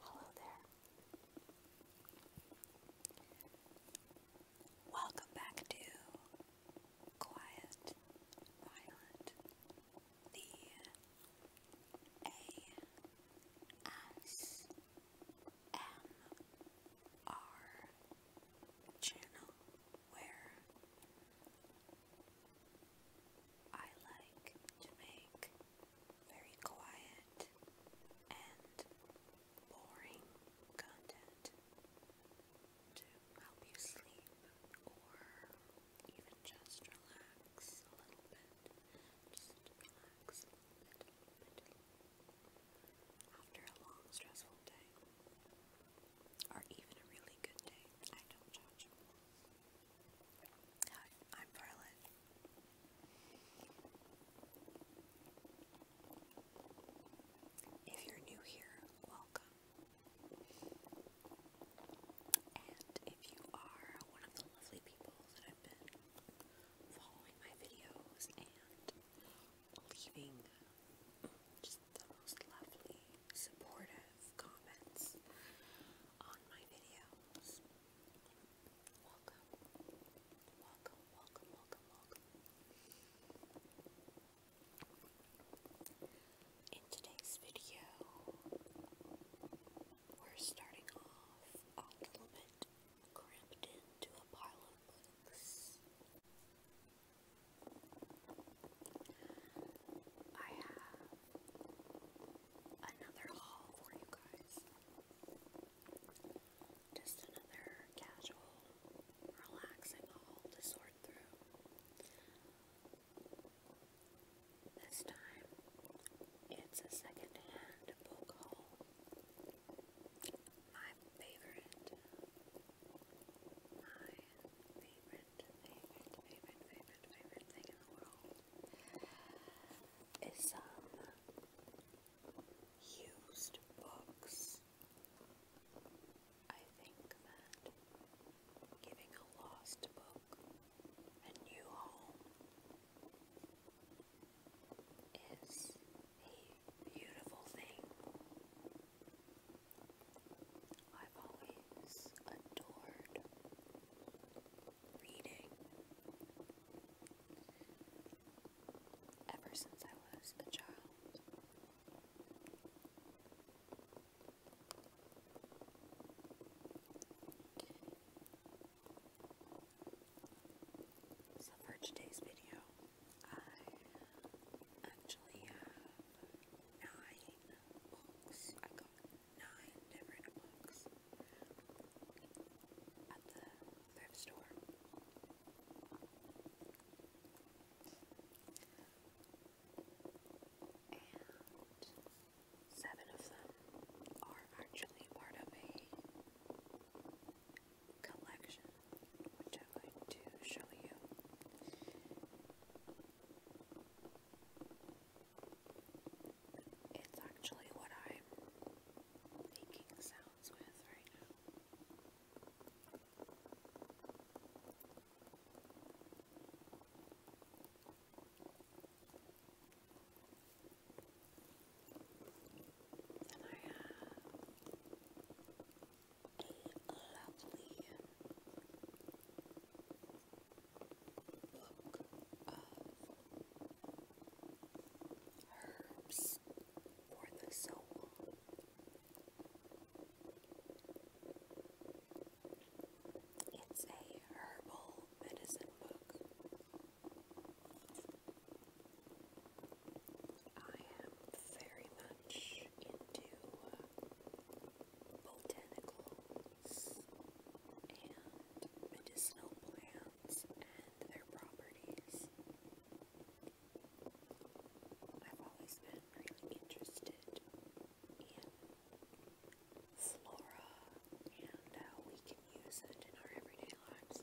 Hello there. Welcome back to Quiet Violent the A S M R channel where I like to make very quiet and boring content to help you sleep or even just relax a little bit. Just relax a little bit, After a long, stressful day, or even a really good day, I don't judge. Hi, I'm Violet. If you're new here, welcome. And if you are one of the lovely people that have been following my videos and leaving just the most lovely, supportive comments on my videos, welcome, welcome, welcome, welcome, welcome. In today's video, we're starting off a little bit cramped into a pile of books. I have another haul for you guys. Just another casual, relaxing haul to sort through. This time, it's a second-hand book haul. My favorite, my favorite, favorite, favorite, favorite, favorite thing in the world is some um, used books. I think that giving a lost book a new home is a beautiful thing. I've always adored reading ever since I was a child. So for today's video, I actually have nine books. I got nine different books at the thrift store. And Seven of them are actually part of a collection, which I'm going to show you. It's actually what I'm making sounds with right now. And I have a lovely book uh, of herbs for the soul. It's a herbal medicine book. I am very much into uh, botanicals and medicinal plants and their properties. I've always been really interested in flora and we can use it in our everyday lives.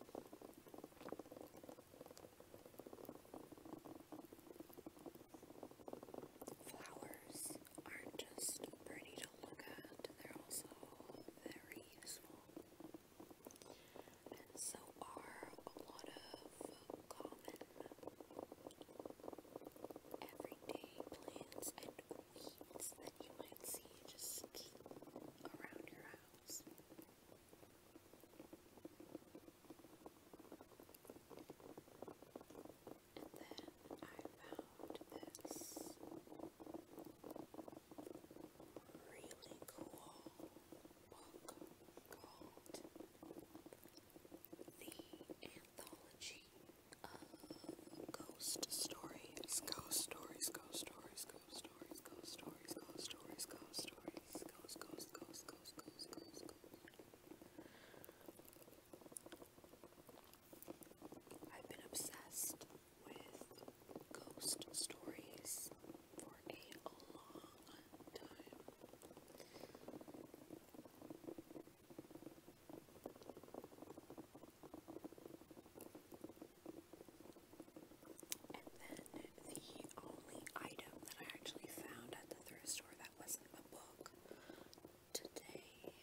Flowers aren't just pretty to look at, they're also very useful. And so are a lot of common everyday plants and weeds that you might see just around your house. And then I found this really cool book called The Anthology ghost stories, ghost stories, ghost stories, ghost stories, ghost stories, ghost stories, ghost stories, ghost, ghost, ghost, ghost, ghost, ghost, ghost. I've been obsessed with ghost stories for a long time. And then the only item that I actually found at the thrift store that wasn't a book today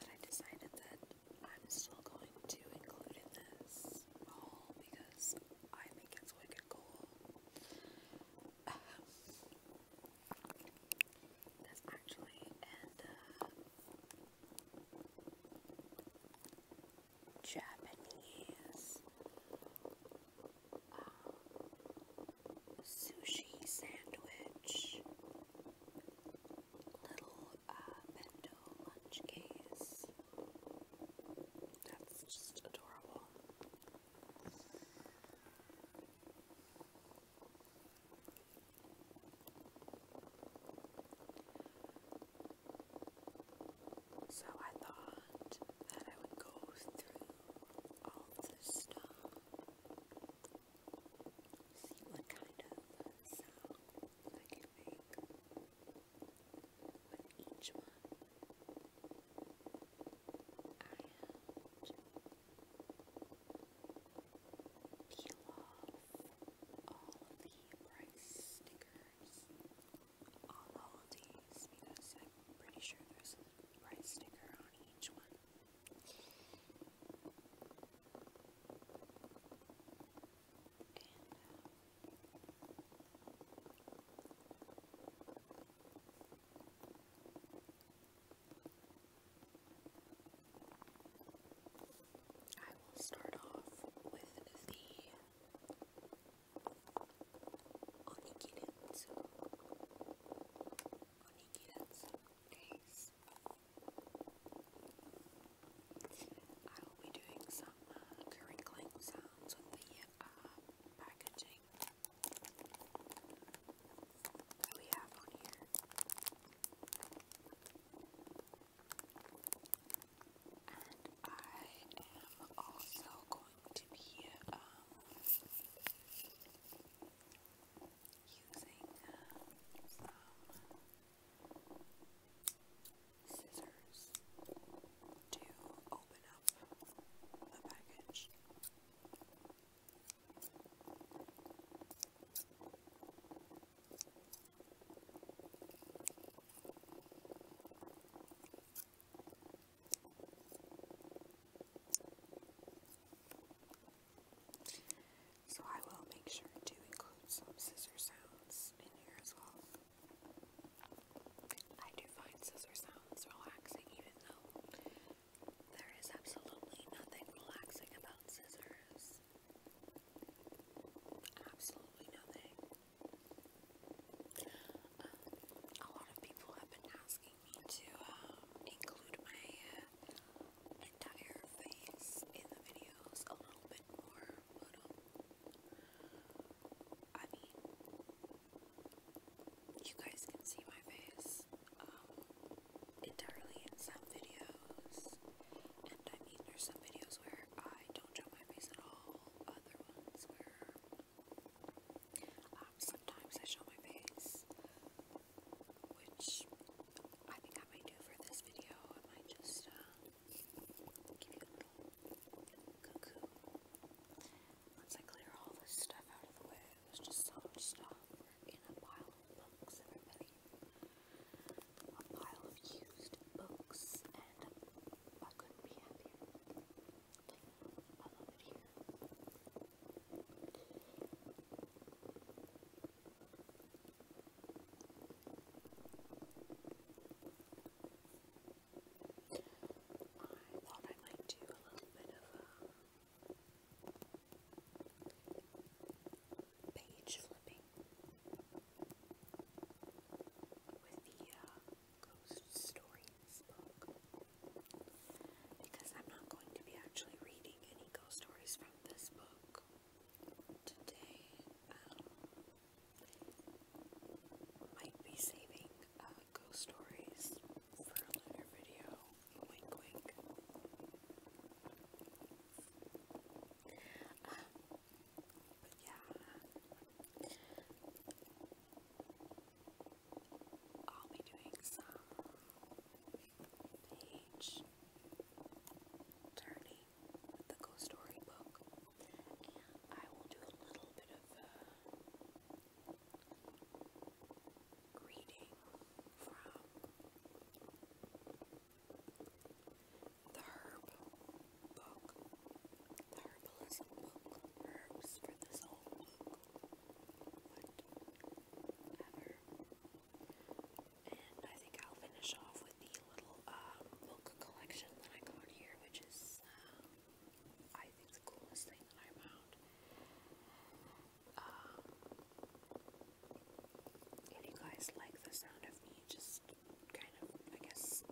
that I decided that I'm still going to include in this haul because I think it's wicked cool. Um, actually an uh, Japanese uh, sushi sandwich, little uh, bento lunch case. That's just adorable. So I thought that I would go through all this stuff, see what kind of sound I can make with each one. And peel off all the price stickers on all of these I'm pretty sure there's a price sticker on each one. And, I will start off with the onikiritsu. Onikiritsu days. I will be doing some uh, crinkling sounds with the uh, packaging that we have on here. And I am also going to be um, using some uh, scissors to open up the package. So I will make sure to include some scissor sounds in here as well. I do find scissor sounds relaxing even though there is absolutely nothing relaxing about scissors. Absolutely nothing. Um, a lot of people have been asking me to um, include my uh, entire face in the videos a little bit more, um, I mean, you guys can see my face entirely in some videos. And I mean, there's some videos where I don't show my face at all, other ones where um, sometimes I show my face, which I think I might do for this video. I might just uh, give you a little cuckoo. Once I clear all this stuff out of the way, there's just so much stuff in a pile of books, everybody a pile of used books, and I couldn't be happier. I love it here. I thought I might do a little bit of a um, page flipping with the uh, ghost stories book because I'm not going to be actually reading any ghost stories from this book today. Um, might be saving uh, ghost stories for a later video. Wink, wink. Um, but yeah, I'll be doing some page turning the ghost story book, and I will do a little bit of reading from the Herb Book. The Herbalist Book. Herbs for this whole And I think I'll finish off with the little um, book collection that I got here, which is, um, I think, the coolest thing that I found. Um, if you guys like the sound of me just kind of, I guess,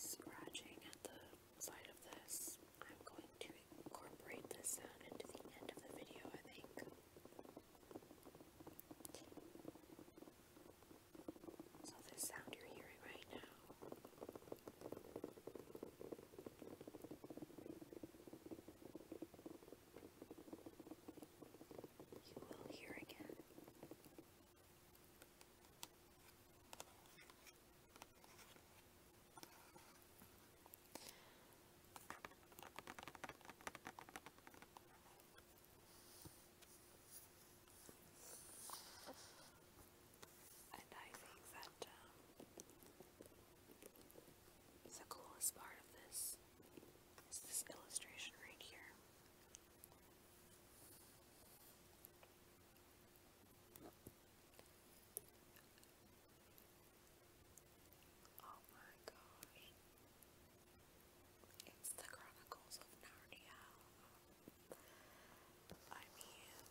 scratching at the side of this, I'm going to incorporate this sound into the end of the video, I think. So, this sound you're hearing right now. You will hear again. And I think that um, it's the coolest part of this is this illustration right here. Oh my gosh. It's the Chronicles of Narnia. I mean,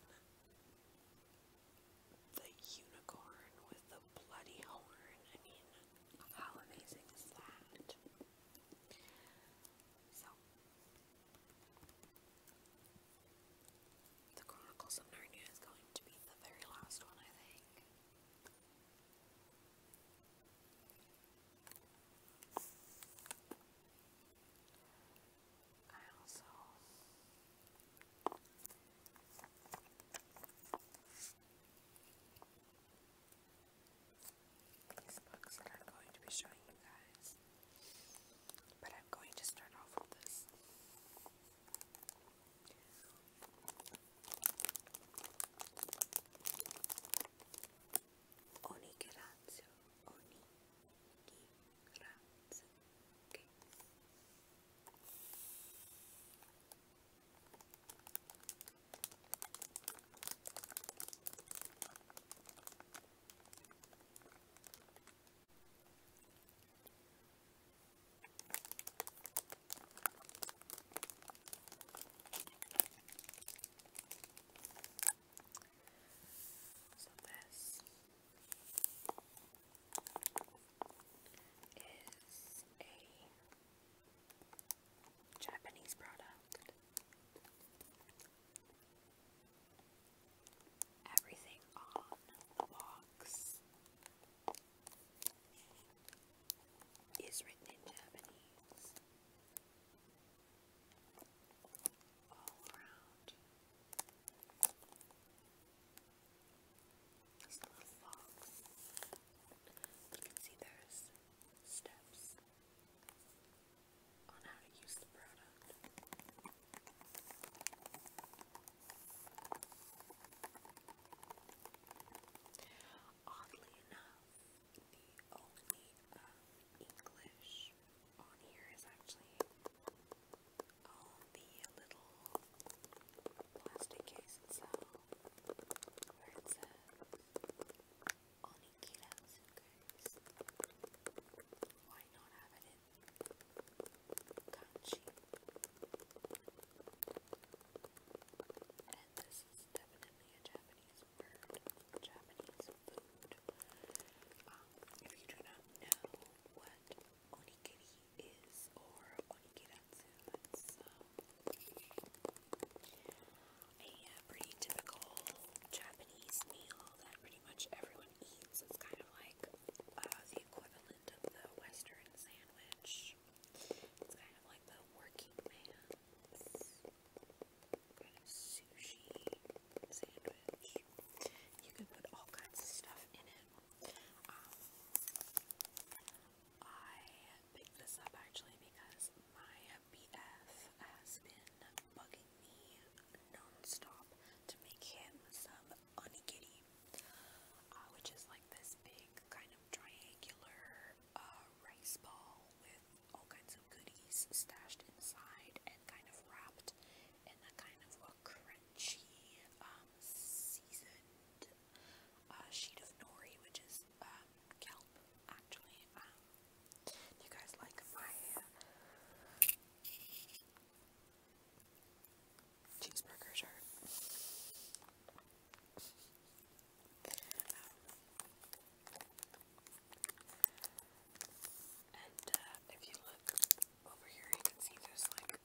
the unicorn with the bloody horn. I mean, how amazing is that? So, The Chronicles of Narnia is going to be the very last one, I think. I also these books that I'm going to be showing you guys. But I'm going to start off with this. Onikiratsu. Onikiratsu. So this is a Japanese product. Everything on the box is written in Japanese. All around. This little fox. You can see there's steps on how to use the product. Oddly enough, the only um, English on here is actually all the little plastic case itself where it says Onikira Why not have it in Kanchi? And this is definitely a Japanese word, Japanese food. Um, if you do not know what Onikiri is or Onikiratsu, a uh, pretty typical Japanese meal that pretty much everyone eats. It's kind of like uh, the equivalent of the Western sandwich. It's kind of like the working man's kind of sushi sandwich. You can put all kinds of stuff in it. Um, I picked this up actually because my BF has been bugging me non-stop to make him some onigiri, uh, which is like this big kind of triangular uh, rice ball with all kinds of goodies stashed inside and kind of wrapped in a kind of crunchy, um, seasoned a sheet of nori, which is um, kelp, actually. Um, you guys like my uh, um, and uh, if you look over here, you can see there's like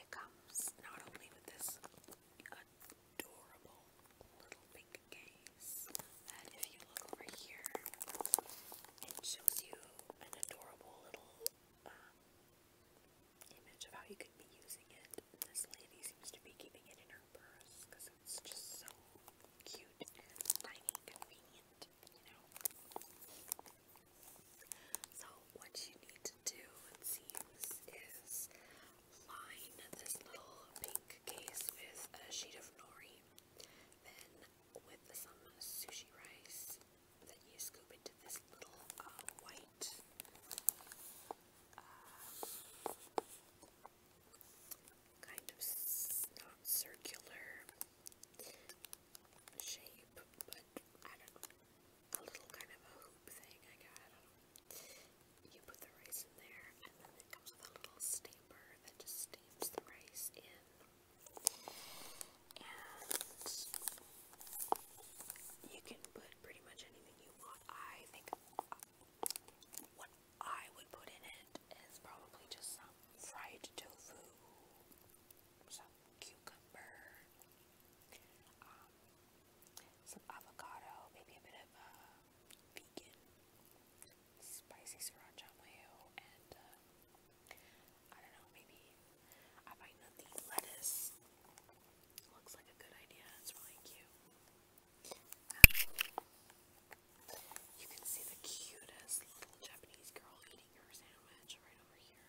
it comes not only with this adorable little pink case that if you look over here, it shows you an adorable little um, image of how you could be using it. This lady seems to be keeping it in her purse because it's just so cute and tiny and convenient, you know. So what you need to do, it seems, is line this little pink case with a sheet of nori, then with some sushi rice Then you scoop into this little uh, white uh, kind of not circular shape, but I don't know, a little kind of a hoop thing, I got, I don't know. You put the rice in there, and then it comes with a little steamer that just steams the rice in. And you can put pretty much anything you want. I think what I would put in it is probably just some fried tofu, some cucumber, um, some avocado, maybe a bit of uh, vegan spicy sriracha mayo, and uh, I don't know, maybe I might not lettuce. Looks like a good idea, it's really cute. Um, you can see the cutest little Japanese girl eating her sandwich right over here.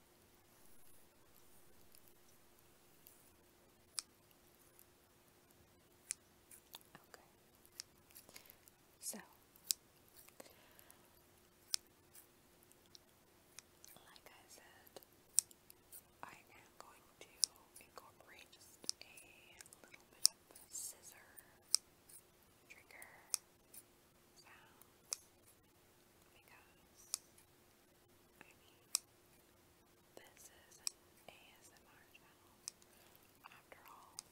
Okay. So, like I said, I am going to incorporate just a little bit of scissor trigger sounds because I mean this is an ASMR channel after all. I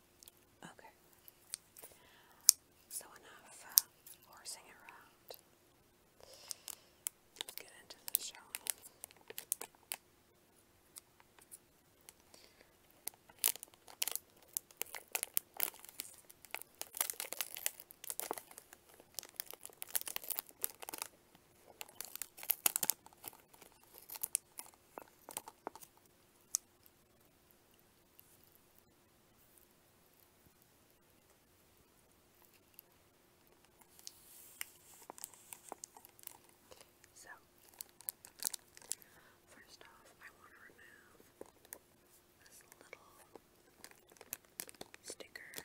Okay. So enough uh, horsing around. Let's get into the show. So, first off, I want to remove this little sticker.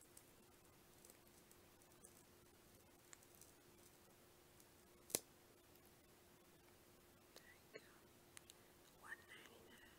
there you go. One ninety nine.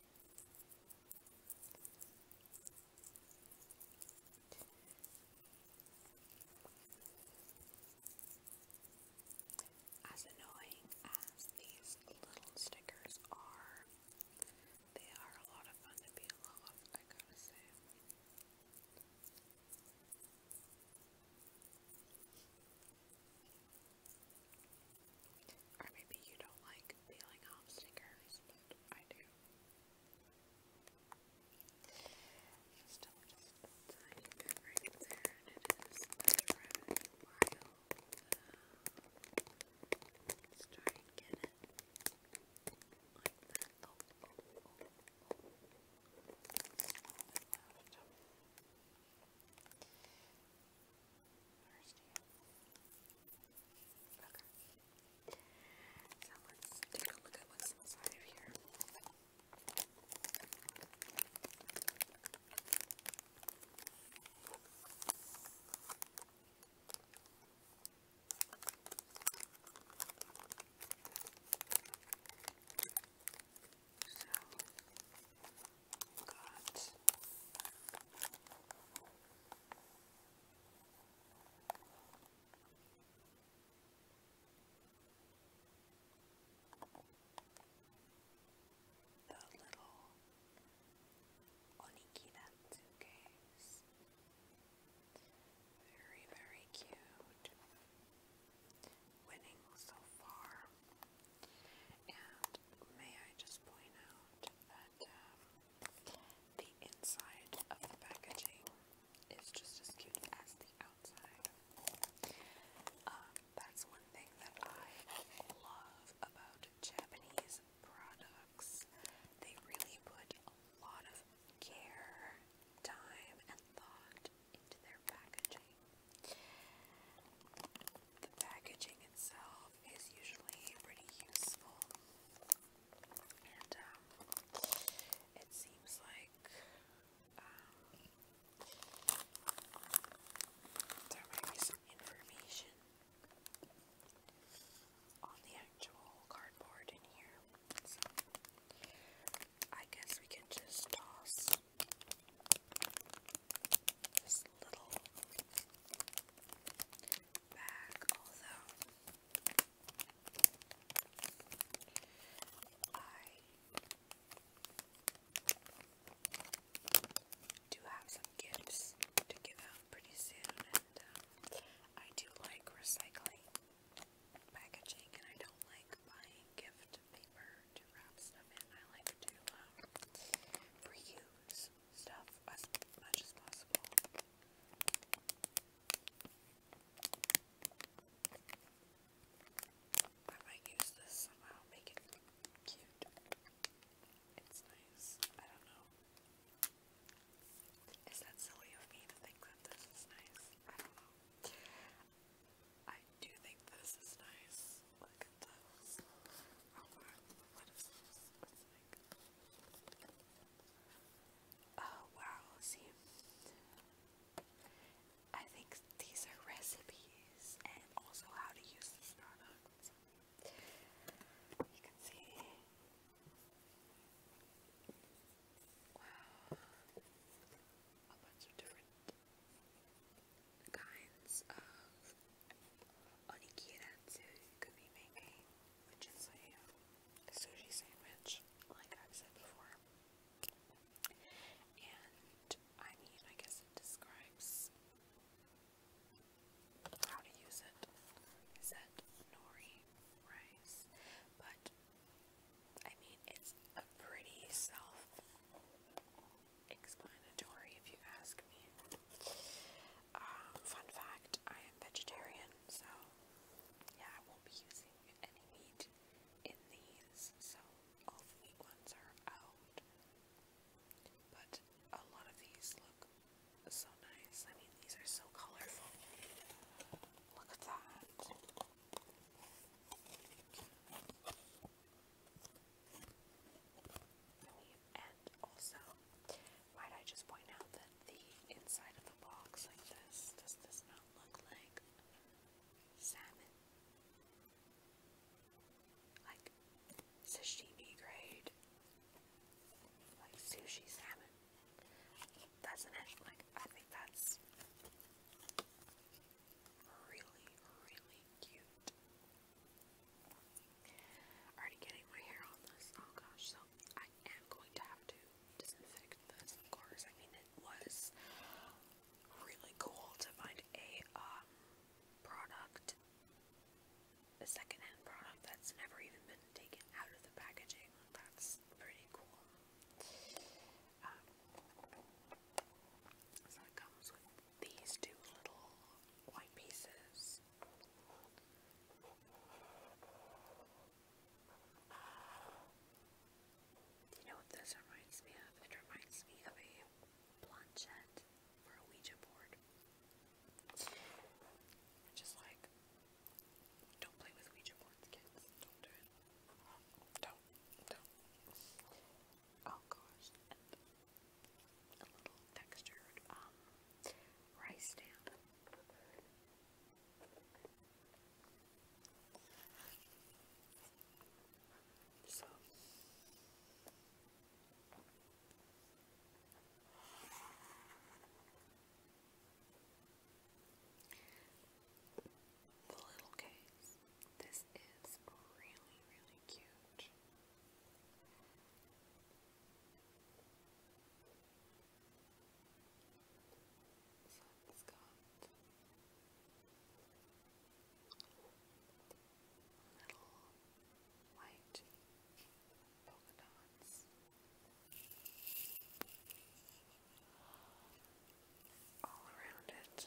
As annoying as these little stickers are, they are a lot of fun to be in love, I gotta say. Or maybe you don't like peeling off stickers, but I do. Still just a tiny bit right there, and it is rather wild. Uh, let's try and get it like that. Oh, oh, oh, Thursday. Okay. So let's take a look at what's inside of here. So, got the little onikiratsu case. Very, very cute. Winning so far. And may I just point out that um, the inside of the packaging is just as cute as the outside. Um, that's one thing that I love about Japanese products. They really put a lot of care, time, and thought into their packaging. The packaging itself is usually pretty useful, and um, it seems like um, there might be some information on the actual cardboard in here. I guess we can just toss little bag, although I do have some gifts to give out pretty soon, um, I do like recycling packaging, and I don't like buying gift paper to wrap stuff in. I like to um, reuse stuff as much as possible. I might use this somehow, make it cute. It's nice. I don't know. Is that silly of me to think that this is nice? I don't know. I do think this is nice look Oh wow, see, I think these are recipes and also how to use this product. You can see. Wow. A bunch of different kinds of onikiratsu could be making, which is a sushi sandwich, like I've said before. And I mean, I guess describes how to use it. Is that nori rice? But I mean, it's a pretty self explanatory if you ask me. Um, fun fact, I am vegetarian, so yeah, I won't be using any meat in these, so all the meat ones are out. But a lot of these look so nice. I mean, these are so colorful. Look at that. And also, might I just point out that the inside of the box like this, does not look like salmon? Like sashimi grade? Like sushi salmon? Doesn't it? Like, I think that's really, really cute. Already getting my hair on this. Oh gosh, so I am going to have to disinfect this, of course. I mean, it was really cool to find a um, product, a secondhand product that's never even been taken out of the packaging. That's pretty cool. Um, comes with these two little white pieces do you know what this reminds me of? It reminds me of a planchette for a Ouija board. just like, don't play with Ouija boards, kids. Don't do it. Don't. Don't. Oh gosh a little textured um, rice stamp. So. The little case. This is really, really cute. So it little white polka dots. All around it,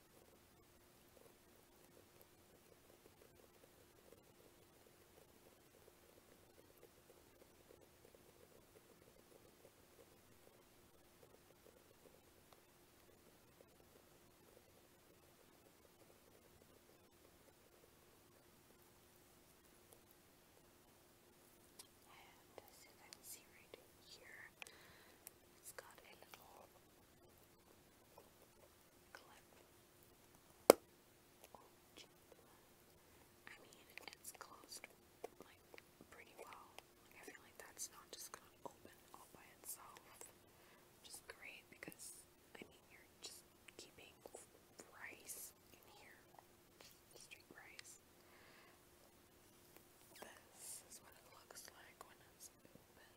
And as you can see right here, it's got a little clip. I mean, it's closed pretty well. I feel like that's not just gonna open all by itself, which great because I mean you're just keeping rice in here, straight rice. This is what it looks like when it's open.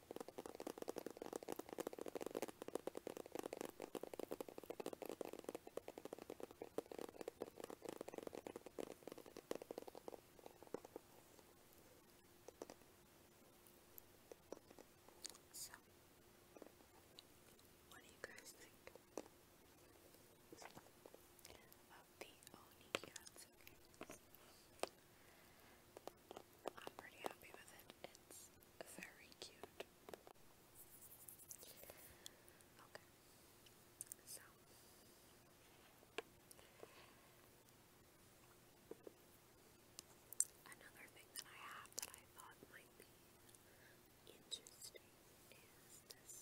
So, what do you guys think of the Oni cats? I'm pretty happy with it. It's very cute. Okay. So another thing that I have that I thought might be interesting is this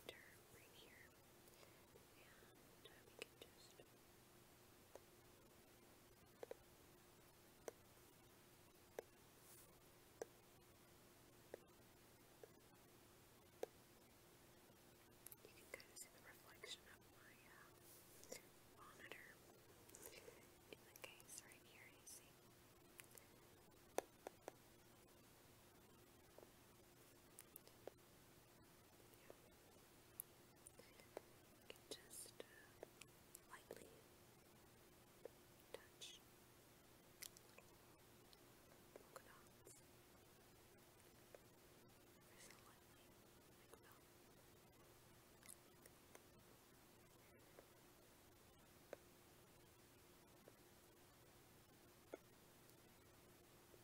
pointer right here. And we can just you can kind of see the reflection of my uh, monitor in the case right here, you see. It's you can just uh, lightly touch polka dots or so lightly, like that. Just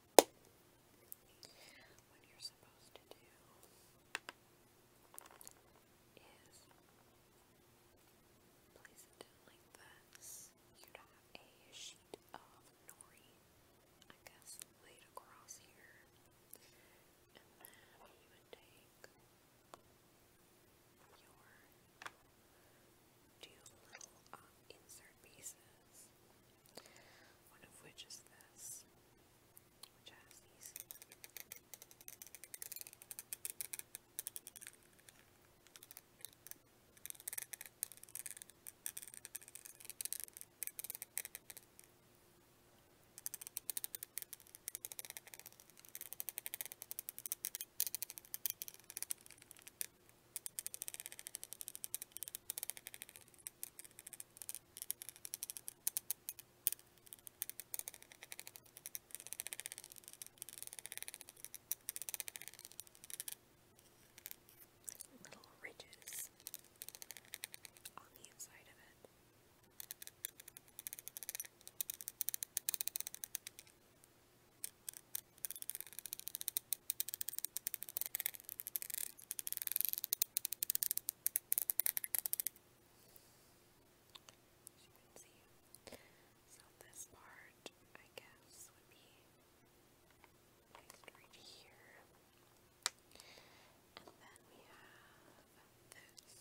What you're supposed to do is place it like this. You'd have a sheet of nori, I guess, laid across here. And then you would take your two little um, insert pieces, one of which is this, which has these. Little ridges on the inside of it. As you So this part, I guess, would be right here. And then we have this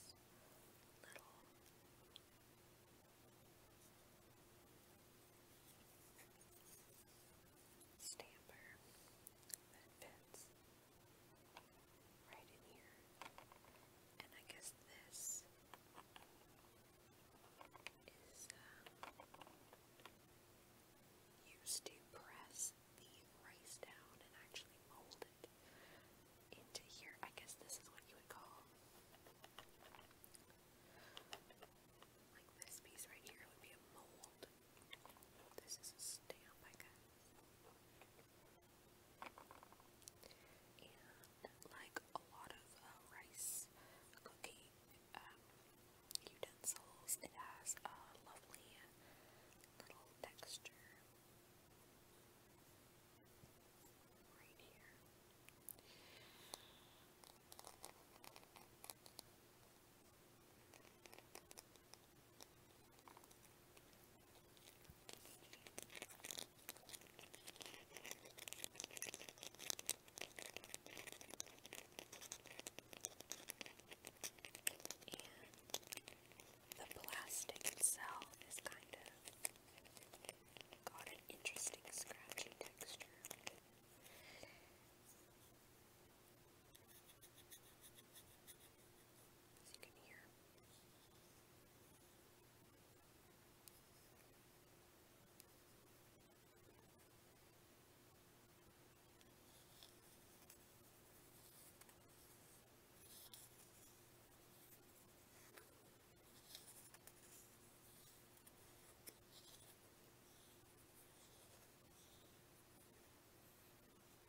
little stamper that fits right in here. And I guess this is uh, used to press the rice down and actually mold it into here. I guess this is what you would call like this piece right here would be a mold. This is a stamp, I guess. And like a lot of uh, rice cooking um, utensils, it has a lovely little texture right here the plastic itself is kind of got an interesting scratchy texture. As you can hear.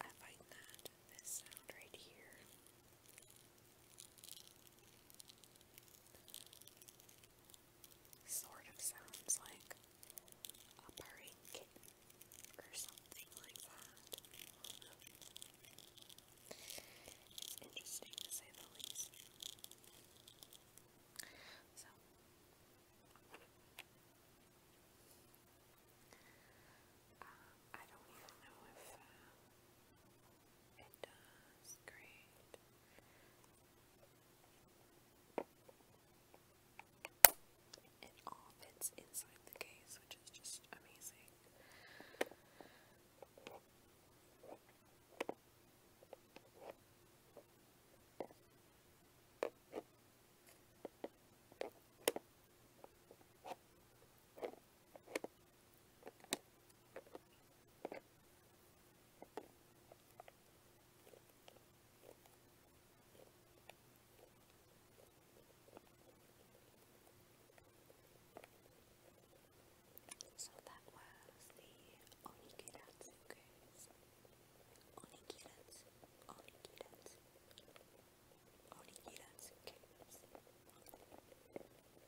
I find that this sound right here Sort of sounds like a purring kitten or something like that. It's interesting to say the least. So, uh, I don't even know if uh, it does. Great. It all fits inside the case, which is just amazing. So that was the Onikiratsu quiz. Onikiratsu, Onikiratsu, Onikiratsu quiz.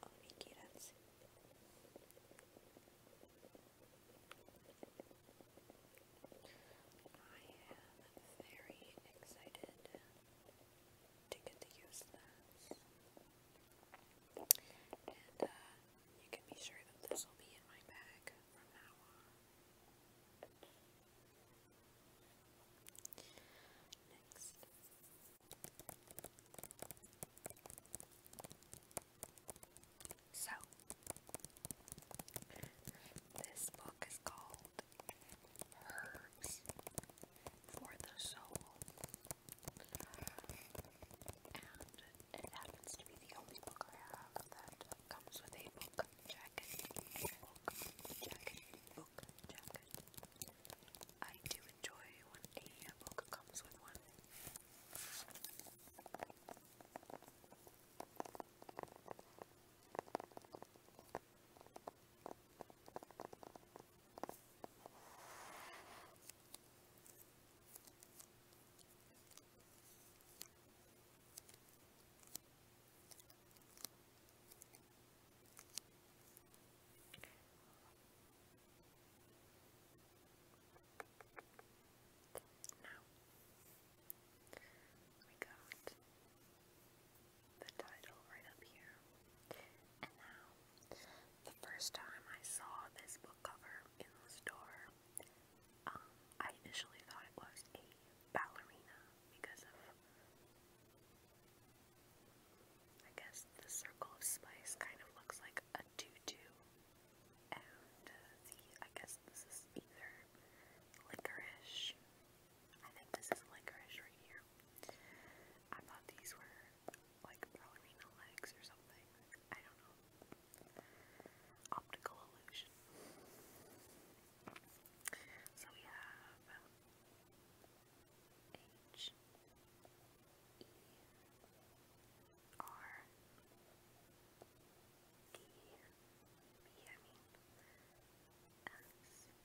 Onikiratsu I am very excited to get to use this. And uh, you can be sure that this will be in my bag from now on. Next so, this book is called Herbs for the Soul, and it happens to be the only book I have that comes with a book jacket. Book jacket. Book jacket. I do enjoy when a book comes with one. Now we got the title right up here. And now, the first time I saw this book cover in the store, um, I initially thought it was a ballerina because of I guess the circle of spice kind of looks like a tutu, and the, uh, I guess this is either licorice. I think this is licorice right here. I thought these were like ballerina legs or something. I don't know. Optical illusion. So we have H E R D B I mean S F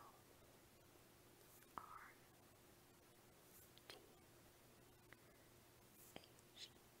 O R D H E R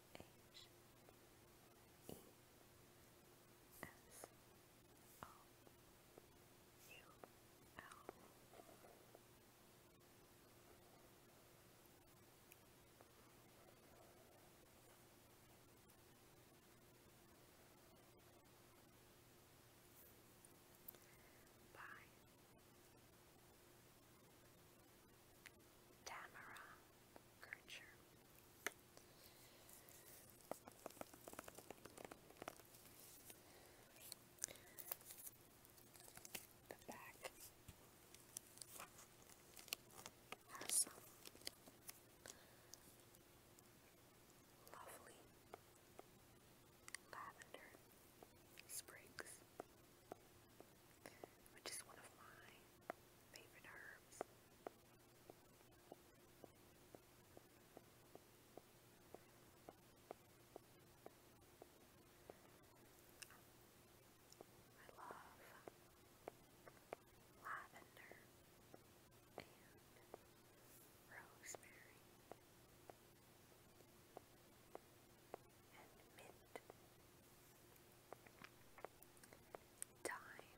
H E S O U L. Bye. Tamara curvature. The back has lovely lavender sprigs, which is one of my favorite herbs. I love lavender and rosemary and mint, thyme,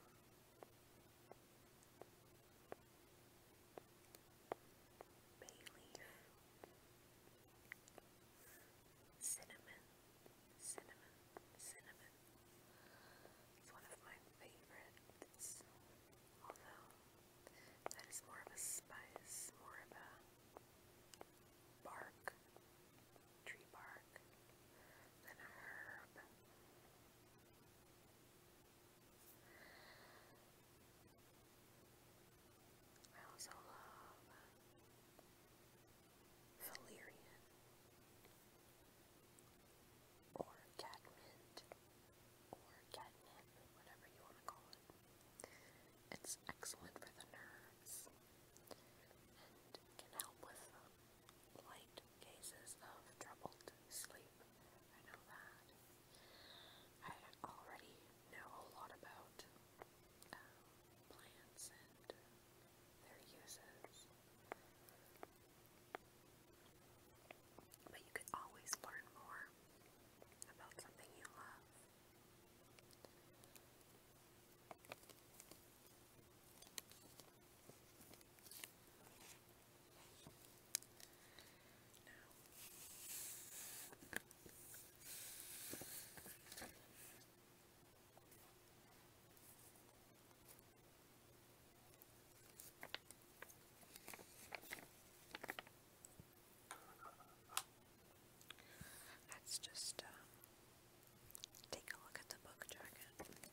bay leaf, cinnamon, cinnamon, cinnamon. It's one of my favorites, although that is more of a spice, more of a bark, tree bark, than a herb. I also love Valerian or catmint or catnip, whatever you want to call it. It's excellent for the nerves and can help with um, light cases of troubled sleep. I know that. I already know a lot about uh, plants and their uses. But you can always learn more about something you love. Let's just um, take a look at the book jacket.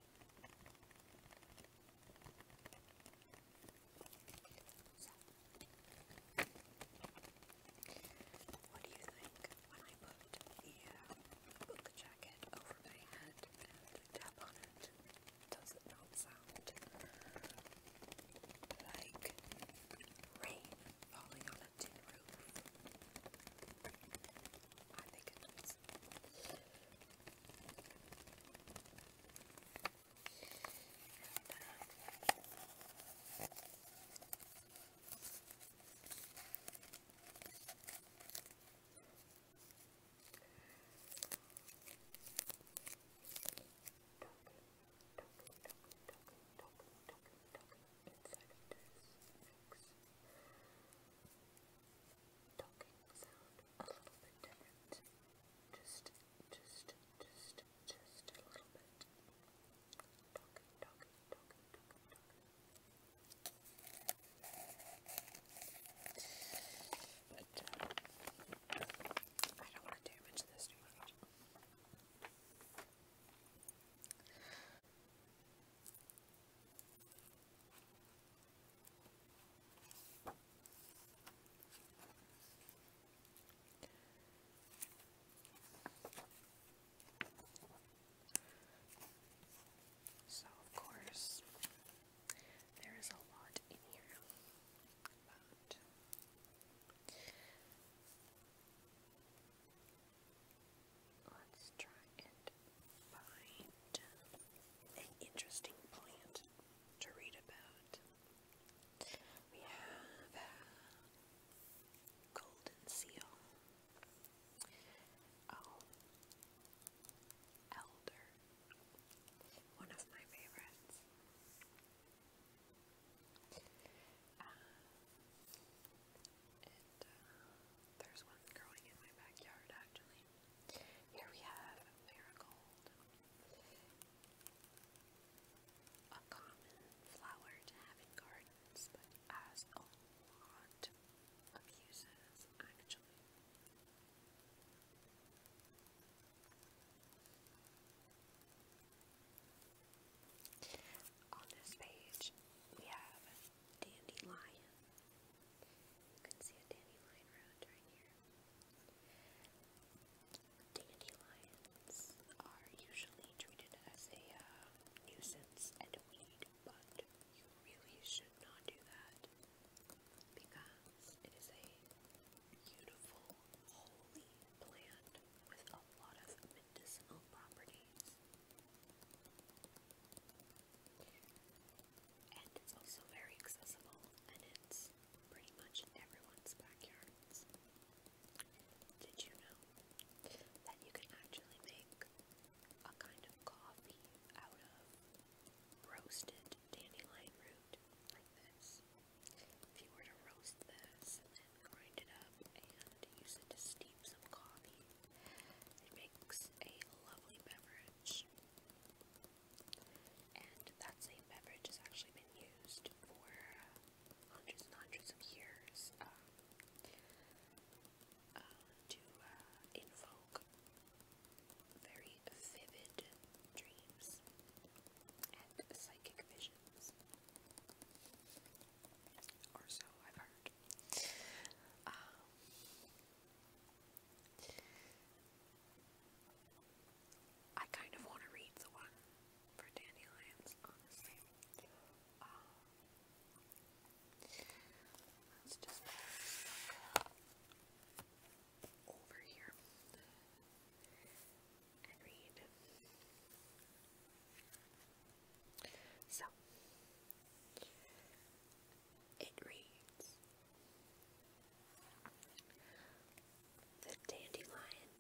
So, what do you think when I put the uh, book jacket over my head and tap on it? Does it not sound like rain falling on a tin I think it is. And, uh, Inside of this mix talking sound a little bit different. Just, just, just, just a little bit. Talking, talking, talking, talking, talking. But uh, I don't want to damage this too much. So, of course, there is a lot in here, but let's try and find an interesting plant to read about. We have a golden seal, oh, elder, one of my favorites. Uh, and uh, there's one growing in my backyard actually. Here we have marigold, a common flower to have in gardens, but has a lot of uses actually. On this page, we have dandelion, you can see a dandelion round right here. Dandelions are usually treated as a uh, nuisance and a weed, but you really should not do that because it is a beautiful, holy plant with a lot of medicinal properties and it's also very accessible and it's pretty much everyone's backyards. Did you know that you can actually make a kind of coffee out of roasted dandelion root like this? If you were to roast this grind it up and use it to steep some coffee, it makes a lovely beverage beverage. And that same beverage has actually been used for uh, hundreds and hundreds of years um, uh, to uh, invoke very vivid dreams and psychic visions. Or so I've heard. Um, I kind of want to read the one for dandelions, honestly. Um, let's just over here read. So, it reads the dandelion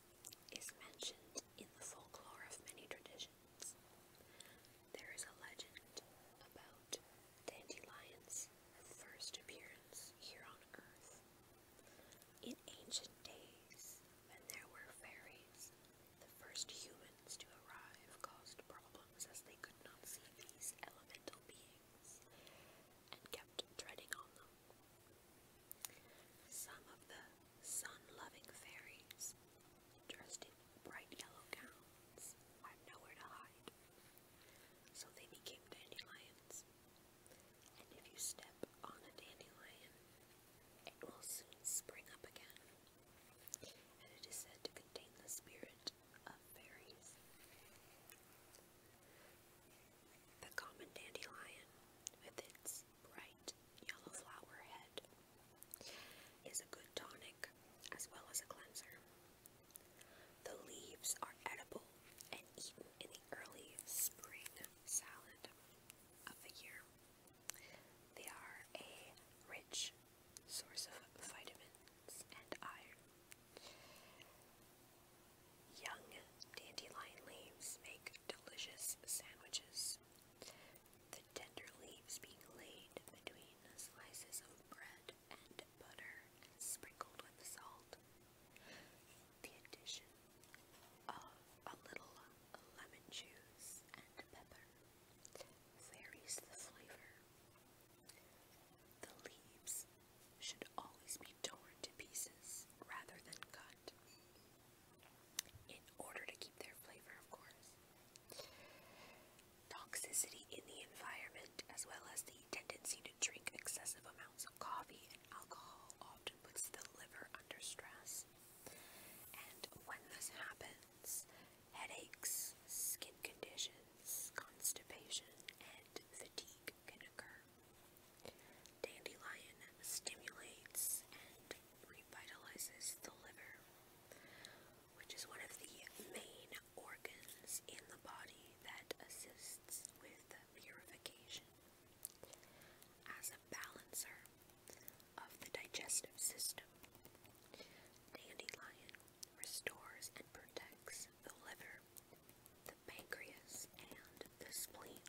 is mentioned in the folklore of many traditions. There is a legend about dandelions' first appearance here on earth. In ancient days, when there were fairies, the first humans to arrive caused problems as they could not see these elemental beings and kept treading on them. Some of the sun-loving fairies, dressed in bright yellow gowns, had nowhere to hide, so they became dandelions. And if you step on a dandelion, it will soon spring up again, and it is said to contain the spirit the common dandelion, with its bright yellow flower head, is a good tonic as well as a cleanser. The leaves are edible and eaten in the early spring salad of the year. They are a rich source of vitamins and iron Young dandelion leaves make delicious sandwiches. The tender leaves being laid between slices of bread and butter and sprinkled with salt. The addition of a little lemon juice and pepper varies the flavor. The leaves should always be torn to pieces rather than cut, in order to keep their flavor, of course. Toxicity in the environment, as well as the tendency to drink excessive amounts of coffee and alcohol, often puts the liver under stress. And when this happens, headaches, skin conditions, constipation, and fatigue can occur. Dandelion stimulates and revitalizes the liver, which is one of the main organs in the body that assists with purification. As a balancer of the digestive system, dandelion restores and protects the liver the pancreas, and the spleen.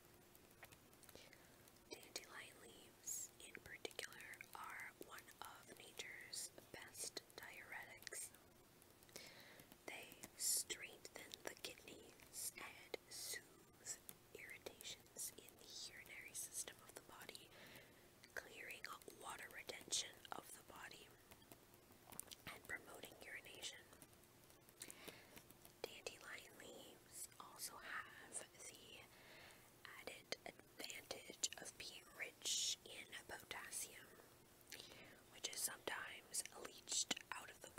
Dandelion leaves, in particular, are one of nature's best diuretics. They strengthen the kidneys and soothe irritations in the urinary system of the body, clearing water retention of the body and promoting urination. Dandelion leaves also have the added advantage of being rich in potassium, which is sometimes leached out of the,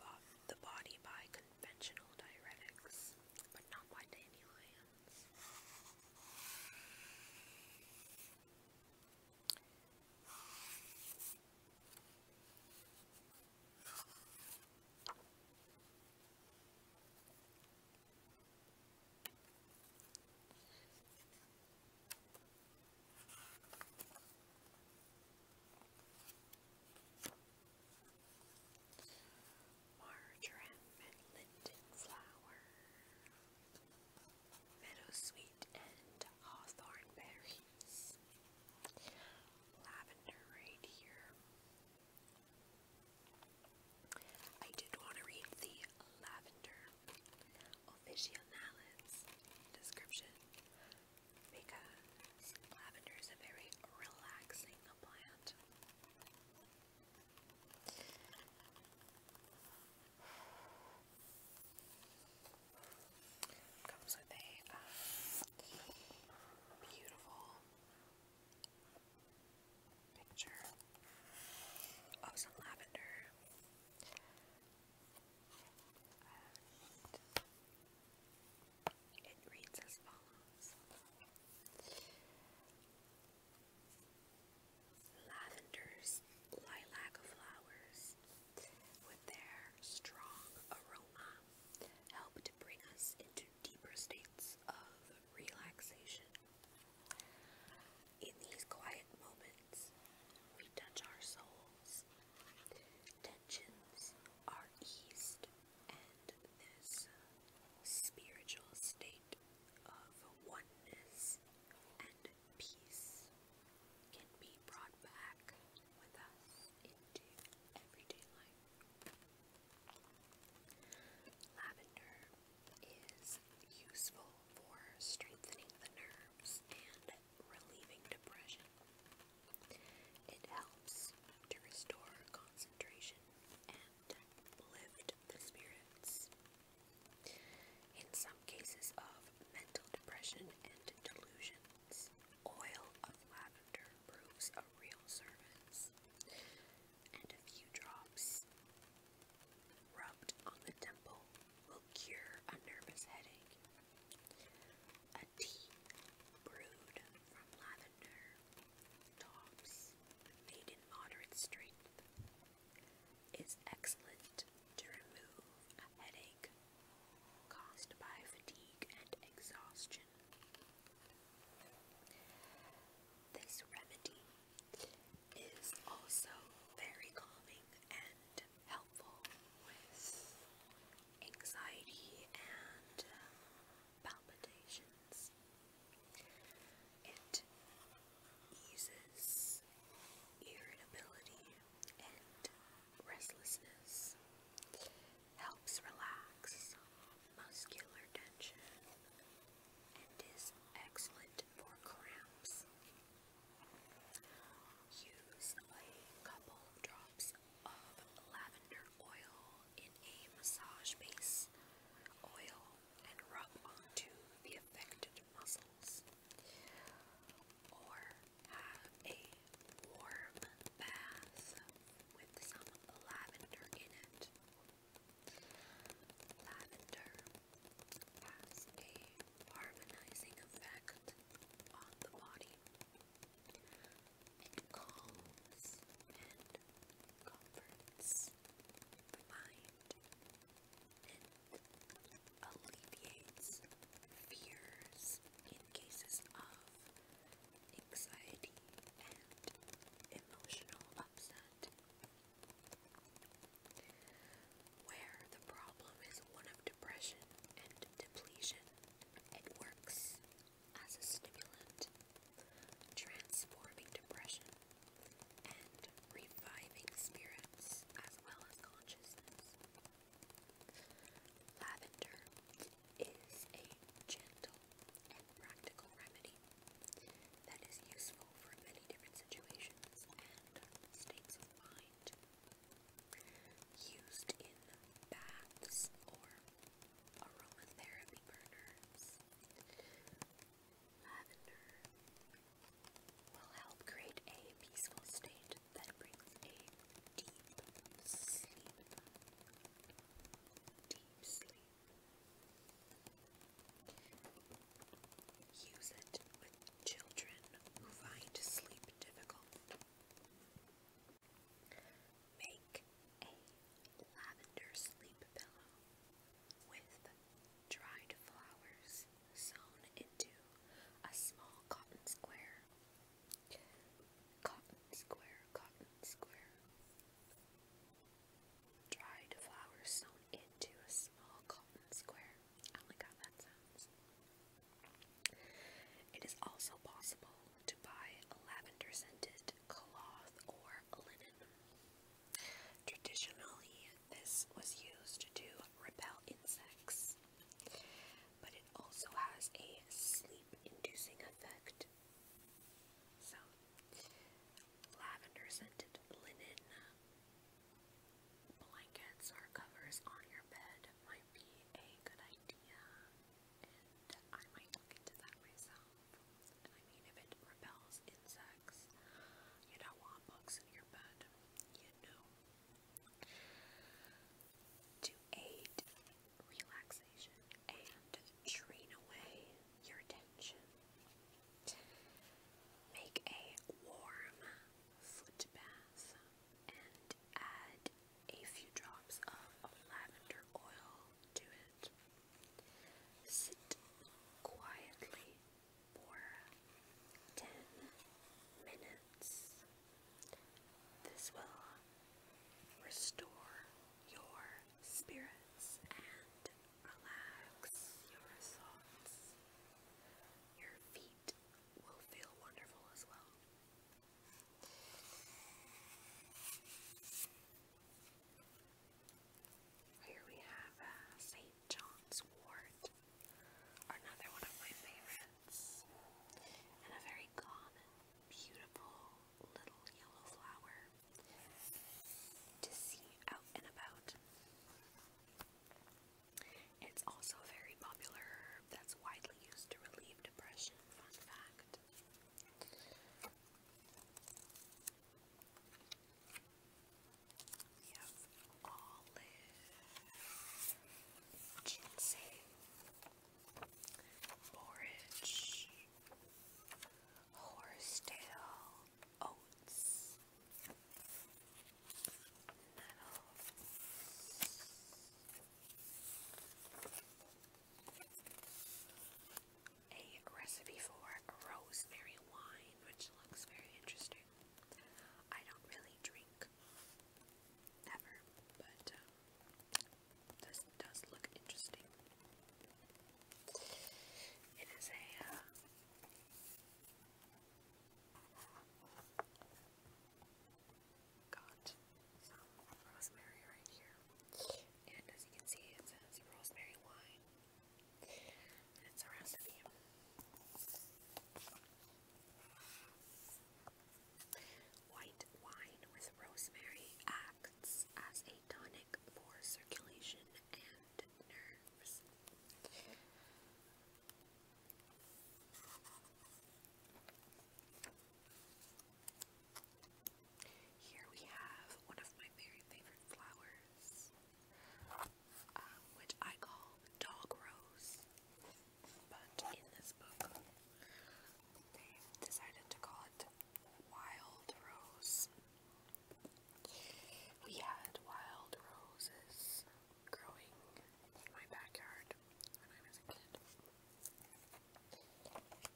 body by conventional diuretics, but not by dandelions. Marjoram and Linden flower meadow sweet and hawthorn berries. Lavender right here. I did want to read the lavender officinalis description because lavender is a very relaxing plant. Comes with a um, beautiful picture of some lavender. it reads as follows Lavender's lilac flowers with their strong aroma help to bring us into deeper states of relaxation. In these quiet moments, we touch our souls. Tensions are eased, and this spiritual state of oneness peace can be brought back with us into everyday life. Lavender is useful for strengthening the nerves and relieving depression. It helps to restore concentration and lift the spirits. In some cases of mental depression and delusions. Oil of lavender proves a real service. And a few drops rubbed on the temple will cure a nervous headache. A tea brewed from lavender tops made in moderate strength is excellent to remove headache caused by fatigue and exhaustion. This remedy is also very calming and helpful with anxiety and um, palpitations. It eases irritability, and restlessness. Helps relax muscular tension and is excellent for cramps. Use a couple drops of lavender oil in a massage base oil and rub onto the affected muscles or have a warm bath with some lavender in it. Lavender has a harmonizing effect on the body. It calms and comforts the mind alleviates fears in cases of anxiety and emotional upset. Where the problem is one of depression and depletion, it works as a stimulant, transforming depression and reviving spirits as well as consciousness. Lavender is a gentle and practical remedy that is useful for many different situations and states of mind. Used in baths or aromatherapy burners, lavender will help create a peaceful state that brings a deep sleep. Deep sleep. Use it with children who find sleep difficult. Make a lavender sleep pillow with dried flowers sewn into a small cotton square. Cotton square, cotton square. Dried flowers sewn into a small cotton square. I like how that sounds. It is also possible to buy lavender scented cloth or linen. Traditionally, this was used to repel insects. But it also has a sleep inducing effect. So, lavender scented linen blankets or covers on your bed might be a good idea. And I might look into that myself. I mean, if it repels insects, you don't want bugs in your bed, you know to aid relaxation and drain away your tension. Make a warm foot bath and add a few drops of lavender oil to it. Sit quietly for 10 minutes. This will restore your spirits and relax your thoughts. Your feet will feel wonderful as well. Here we have uh, St. John's Wort, another one of my favorites. It's and a very common, beautiful little yellow flower to see out and about. It's also very popular herb that's widely used to relieve depression, fun fact. We have olive, ginseng, borage, horsetail, oats, nettles. A recipe for rosemary wine, which looks very interesting. I don't really drink ever, but this does look interesting. It is a uh, got some rosemary right here, and as you can see, it says rosemary wine. And it's a recipe. White wine with rosemary acts as a tonic for circulation and nerves. Here we have one of my very favorite flowers, um, which I call dog rose. But in this book, they decided to call it Wild Rose. We had wild roses growing in my backyard when I was a kid.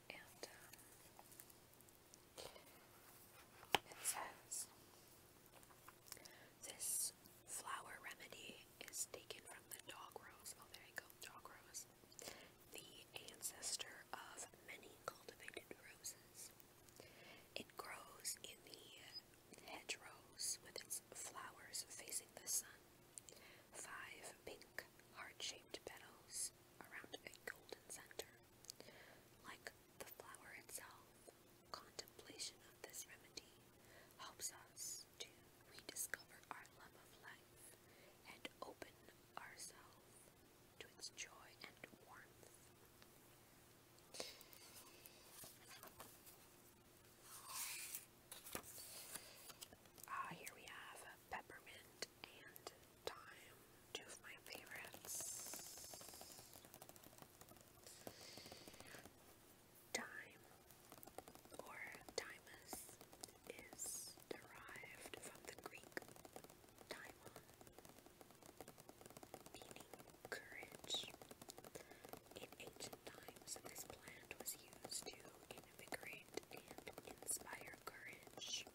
And um, it says this flower remedy is taken from the dog rose. Oh, there you go dog rose, the ancestor of many cultivated roses. It grows in the hedgerows with its flowers facing the sun, five pink heart-shaped petals around a golden center. Like the flower itself, contemplation of this remedy helps us to rediscover our love of life and open ourselves to its joy and warmth. Ah, here we have peppermint and thyme, two of my favorites. Time or timus is derived from the Greek timon, meaning courage. In ancient times, this plant was used to invigorate and inspire courage.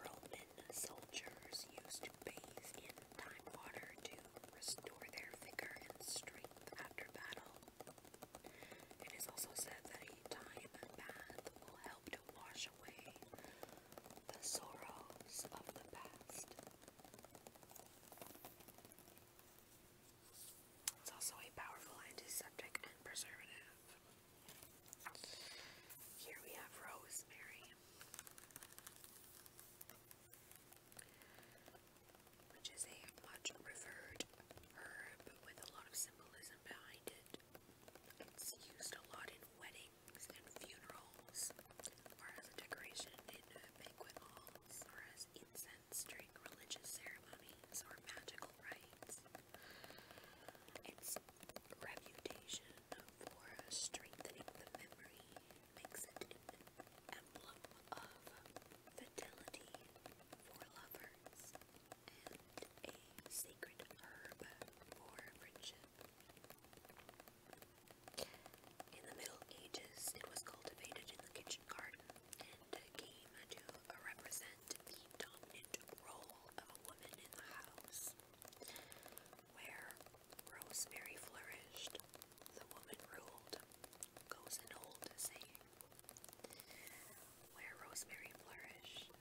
Roman soldiers used to bathe in time water to restore their vigor and strength after battle. It is also said that a time bath will help to wash away the sorrows of the past. It's also a powerful antiseptic and preservative. Here we have rosemary which is a much referred herb with a lot of symbolism behind it. It's used a lot in weddings and funerals, or as a decoration in banquet halls, or as incense during religious ceremonies or magical rites. Its reputation for strengthening the memory makes it an emblem of fidelity for lovers, and a sacred herb for friendship. In the Middle Ages, it was cultivated in the kitchen garden and came to represent the dominant role of a woman in the house. Where rosemary flourished, the woman ruled, goes an old saying. Where rosemary flourished,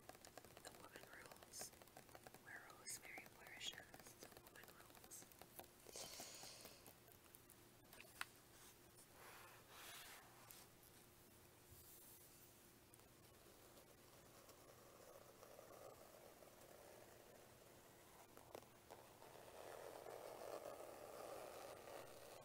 the woman rules. Where rosemary flourishes, the woman rules.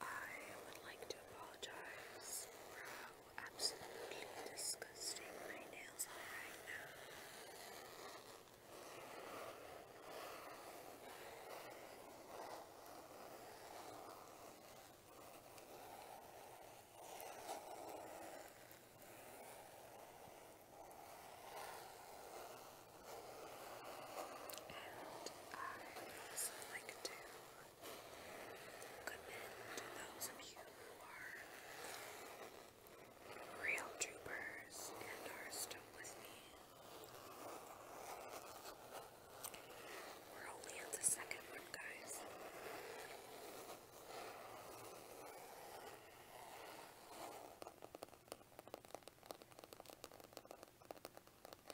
I would like to apologize for how absolutely disgusting my nails are right now. And I also like to Good men to those of you who are real troopers and are still with me. We're only at the second one, guys.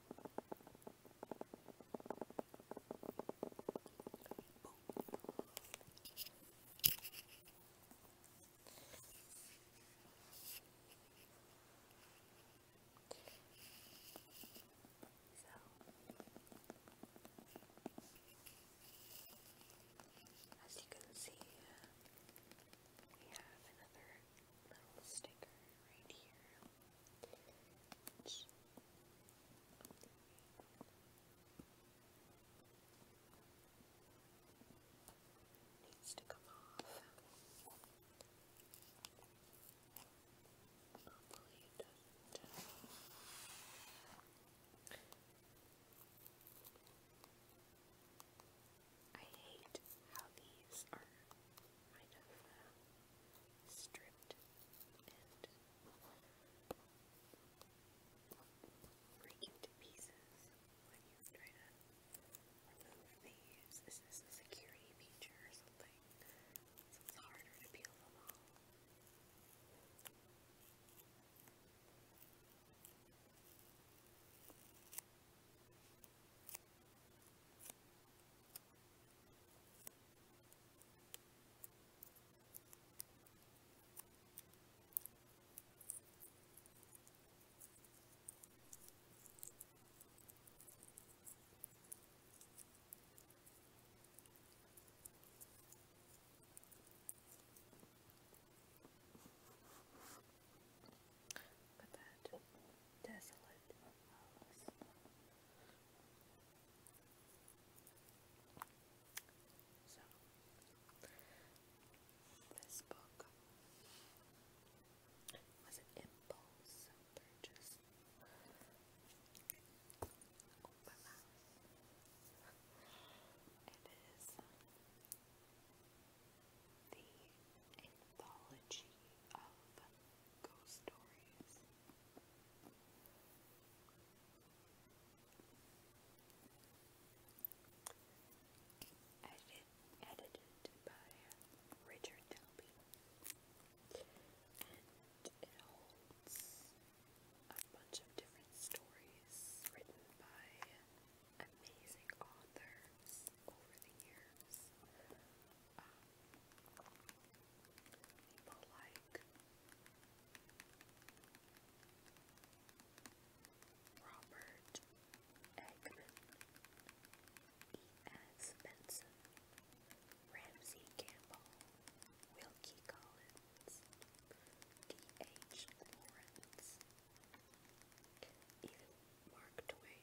as you can see, uh, we have another little sticker right here. Needs to come off. Uh, I hate how these are kind of stripped and break into pieces when you try to remove these. This is a security feature or something, so it's harder to peel them off. But that desolate So, this book was an impulse purchase. It is the anthology of ghost stories. Edited, edited by Richard Delby. And it holds a bunch of different stories written by amazing authors over the years. Um, people like Robert Eggman, Benson, Ramsey Campbell, Wilkie Collins, D.H. Lawrence, even Mark Twain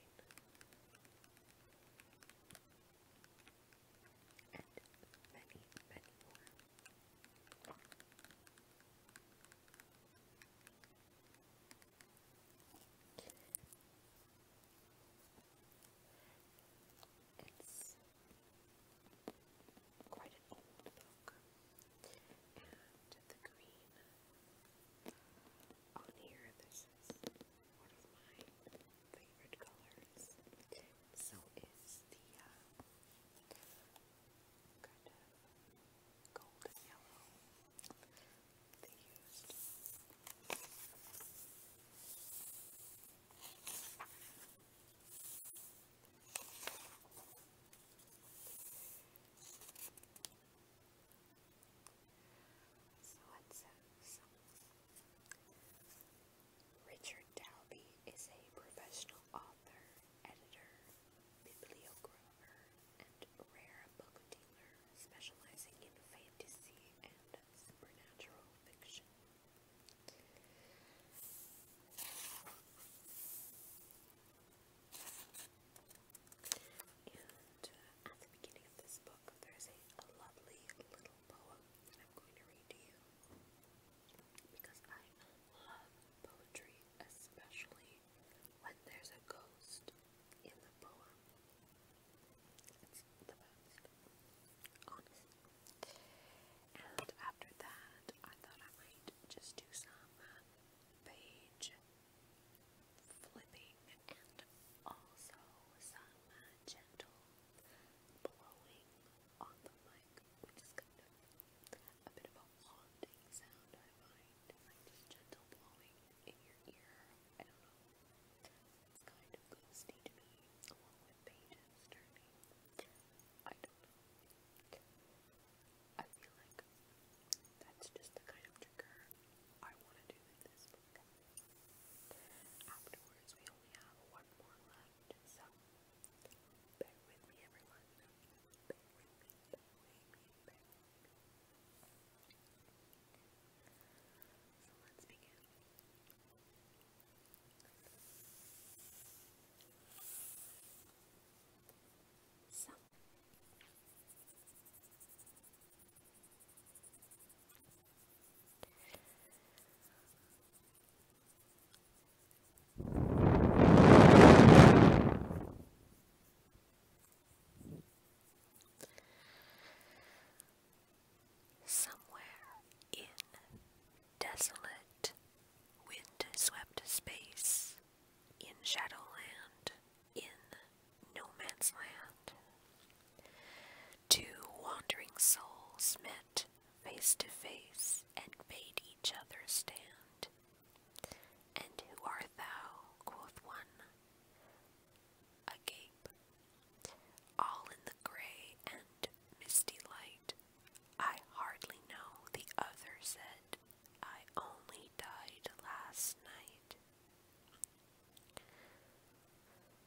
and many, It's quite an old book, and the green on here, this one of my favorite colors. So is the kind of golden yellow they used. So it says Richard Dalby is a professional author, editor, bibliographer, and rare book dealer specializing in fantasy and supernatural fiction. And at the beginning of this book, there's a, lovely little poem and I'm going to read to you because I love poetry, especially when there's a ghost in the poem. It's the best, honestly. And after that, I thought I might just do some uh, page flipping and also some uh, gentle blowing on the mic, which is kind of a bit of a haunting sound, I find. Like just gentle blowing in your ear. I don't know. It's kind of ghosty to me, along with pages turning. I don't know. I feel like that's just the kind of trigger I want to do with this book. Afterwards, we only have one more left, so bear with me, everyone. bear with me. So let's begin. So, Somewhere in desolate, wind swept space, in Shadowland, in No Man's Land, Two wandering souls met face to face and bade each other stand. And who art thou? quoth one. Agape, all in the grey and misty light. I hardly know, the other said. I only died last night.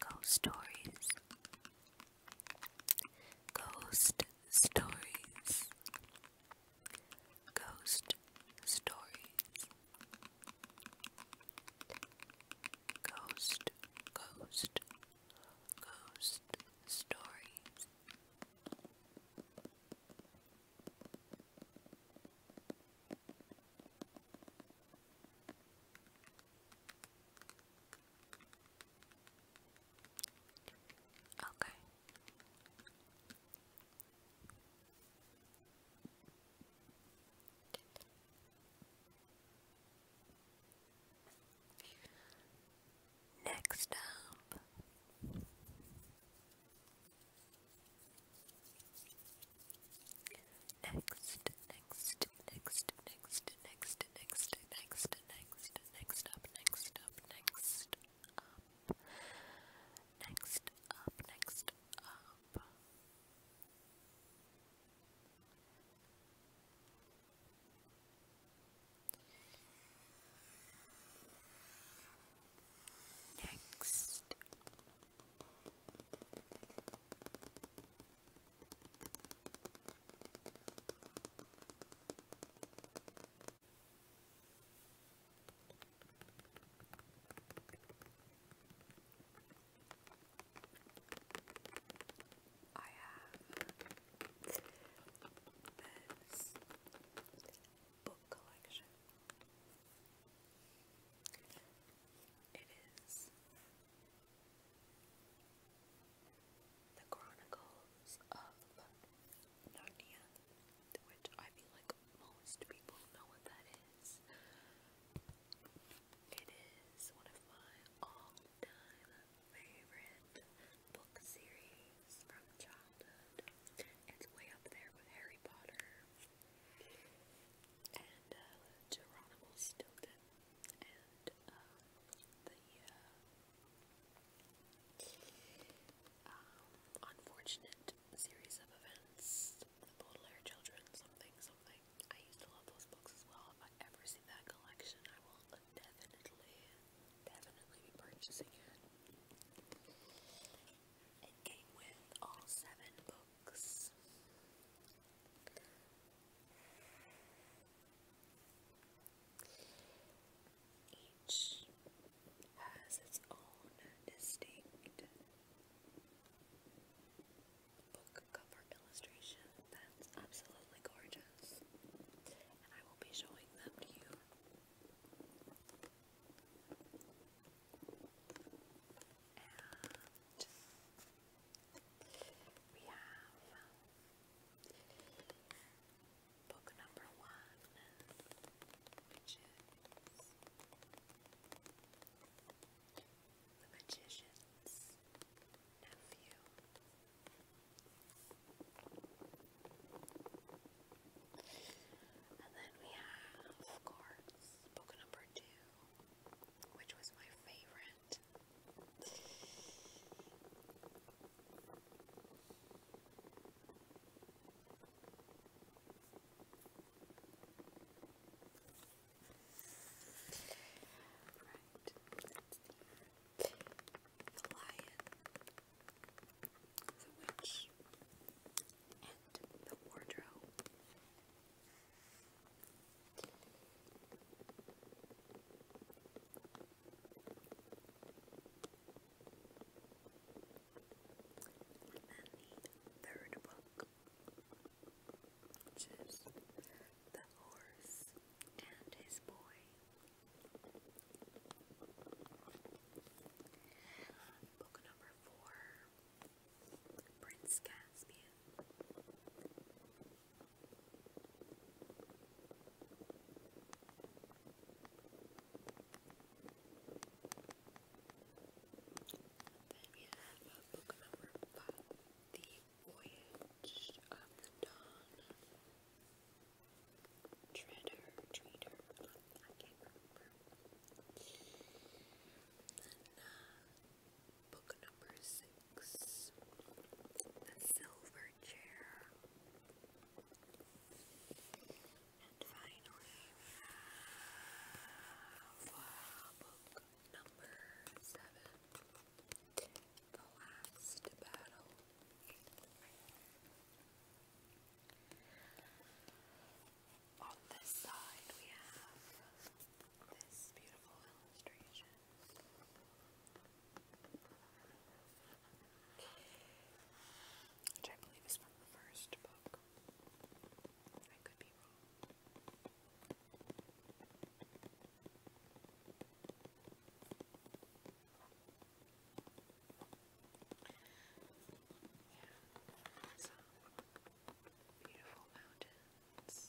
Ghost stories. Ghost stories. Ghost stories. Ghost, ghost, ghost stories. Okay, Next up, next, next, next, next, next, next, next, next, next up, next up, next up. Next up, next up. Next. Next. I have this book collection. It is The Chronicles of Narnia which I feel like most people know what that is. It is one of my all-time favorite book series from childhood. It's way up there with Harry Potter and uh, Geronimo Stilton and um, the uh, um, unfortunate series of events, Baudelaire Children, something, something. I used to love those books as well. If I ever see that collection, I will definitely, definitely be purchasing it. It came with all seven books. Each has its own distinct book cover illustration that's absolutely gorgeous, and I will be showing them to you. And we have book number one, which is The Magician's Nephew. And then we have, of course, book number two, which was my favorite. Right, that's the, the the witch, and the wardrobe. And then the third book, which is The Horse and His Boy. Book number four, Prince Caspian. Then you have book number five, The Voyage of the Dawn. Treader, Treater, I can't remember. Then book number six, The Silver Chair. And finally, book number seven The Last Battle. On this side, we have this beautiful illustration. Which I believe is from the first book. I could be wrong. Yeah, some beautiful mountains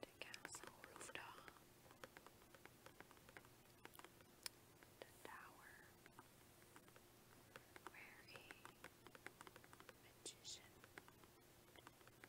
the castle rooftop, the tower, where a magician and a young apprentice are looking down.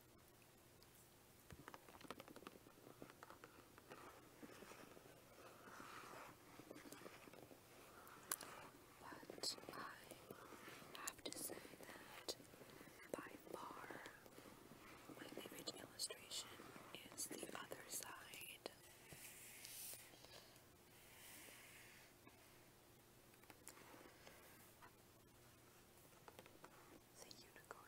But I have to say that by far my favorite illustration is the other side. It's a unicorn.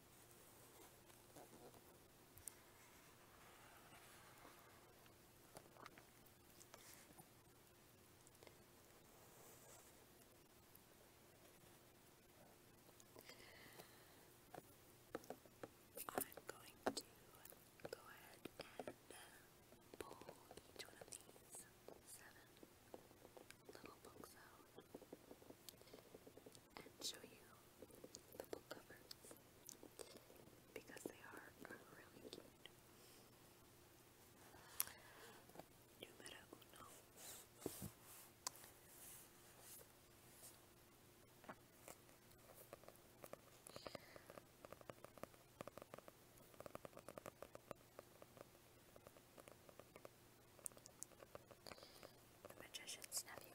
I'm going to go ahead and pull each one of these seven little books out and show you the book covers because they are really cute. Numero uno. The magician's nephew.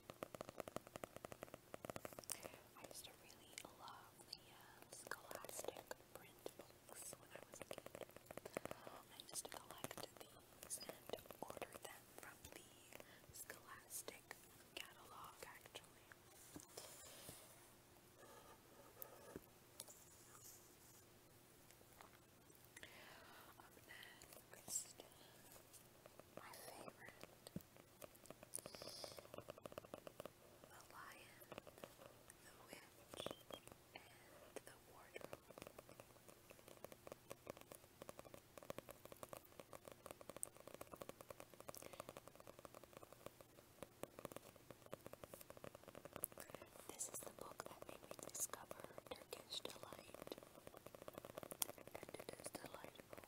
I used to really love the uh, Scholastic print books when I was a kid. I used to collect these and order them from the Scholastic catalog, actually. Um, then, my favorite the Lion, the Witch, and the Wardrobe. This is the book that made me discover Turkish delight, and it is delightful.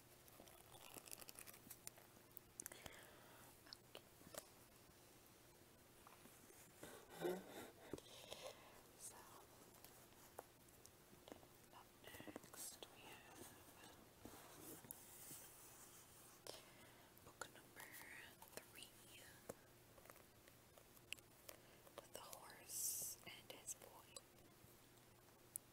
Okay. So next we have book number three with the horse and his boy. You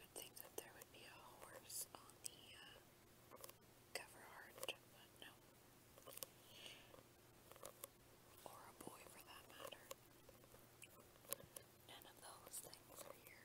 would think that there would be a horse on the uh, cover art, but no. Or a boy for that matter. None of those things are here.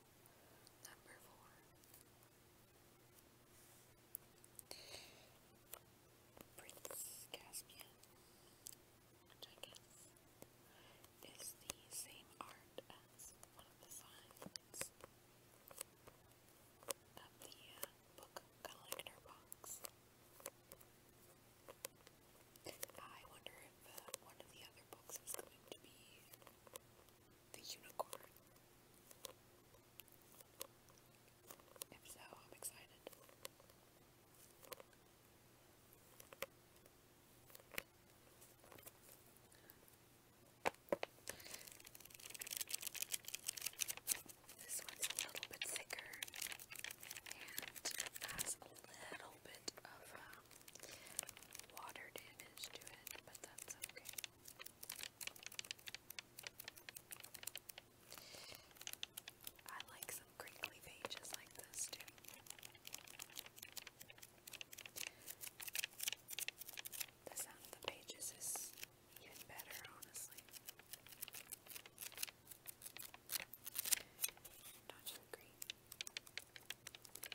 book. Number four. Prince Caspian, which I guess is the same art as one of the signs of the book collector box. I wonder one of the other books is going to be The Unicorn. If so, I'm excited. This one's a little bit thicker and has a little bit of um, Water damage to it, but that's okay. I like some crinkly pages like this too. The sound of the pages is even better, honestly. Don't you agree?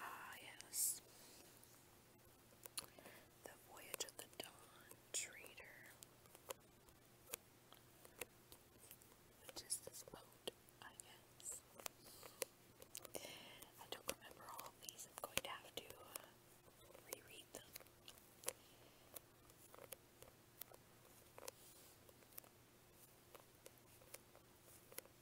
Ah, yes. The Voyage of the Dawn Trader. Which is this boat, I guess. I don't remember all these. I'm going to have to uh, reread them.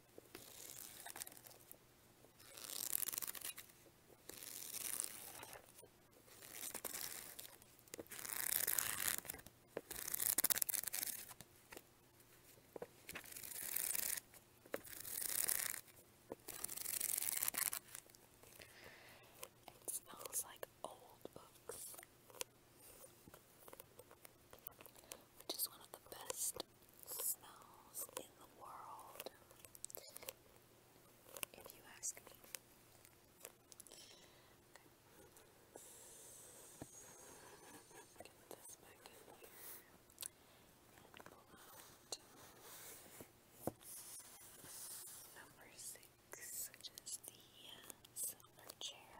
It smells like old books, which is one of the best smells in the world, if you ask me. Okay. Get this back in here number six, which the uh, chair.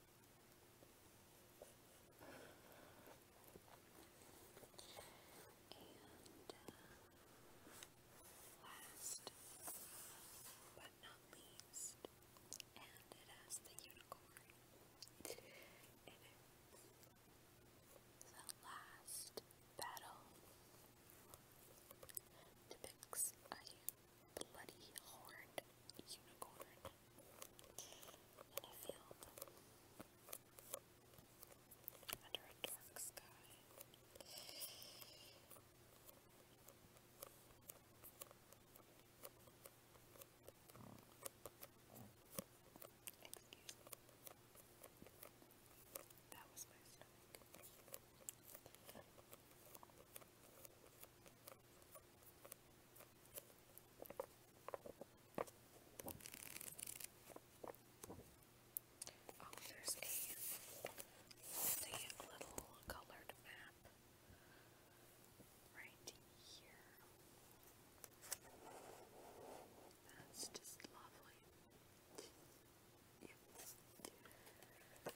And uh, last but not least, and it the unicorn in The last battle depicts a bloody horned unicorn in a field under a dark sky. Excuse me. That was my stomach. Oh, there's a little colored map right here. That's just lovely. Yep.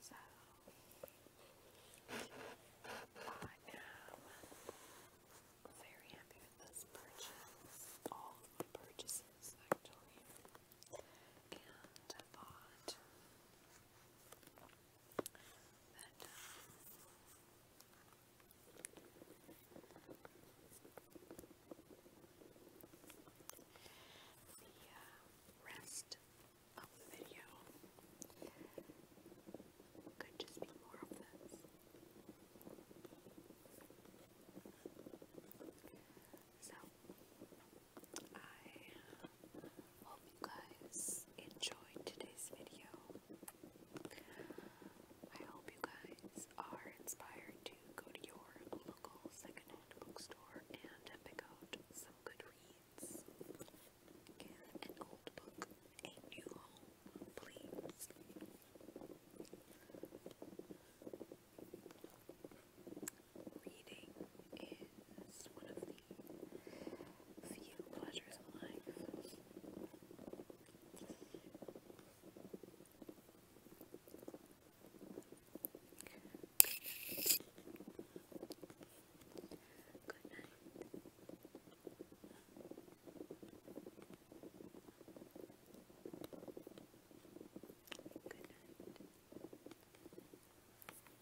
So I am very happy with this purchase, all purchases actually. And I bought but, um, the uh, rest of the video could just be more of this. So, I Hope you guys enjoyed today's video. I hope you guys are inspired to go to your local secondhand bookstore and pick out some good reads. an old book a new home, please. Reading is one of the pleasures of life. Good night. Good night.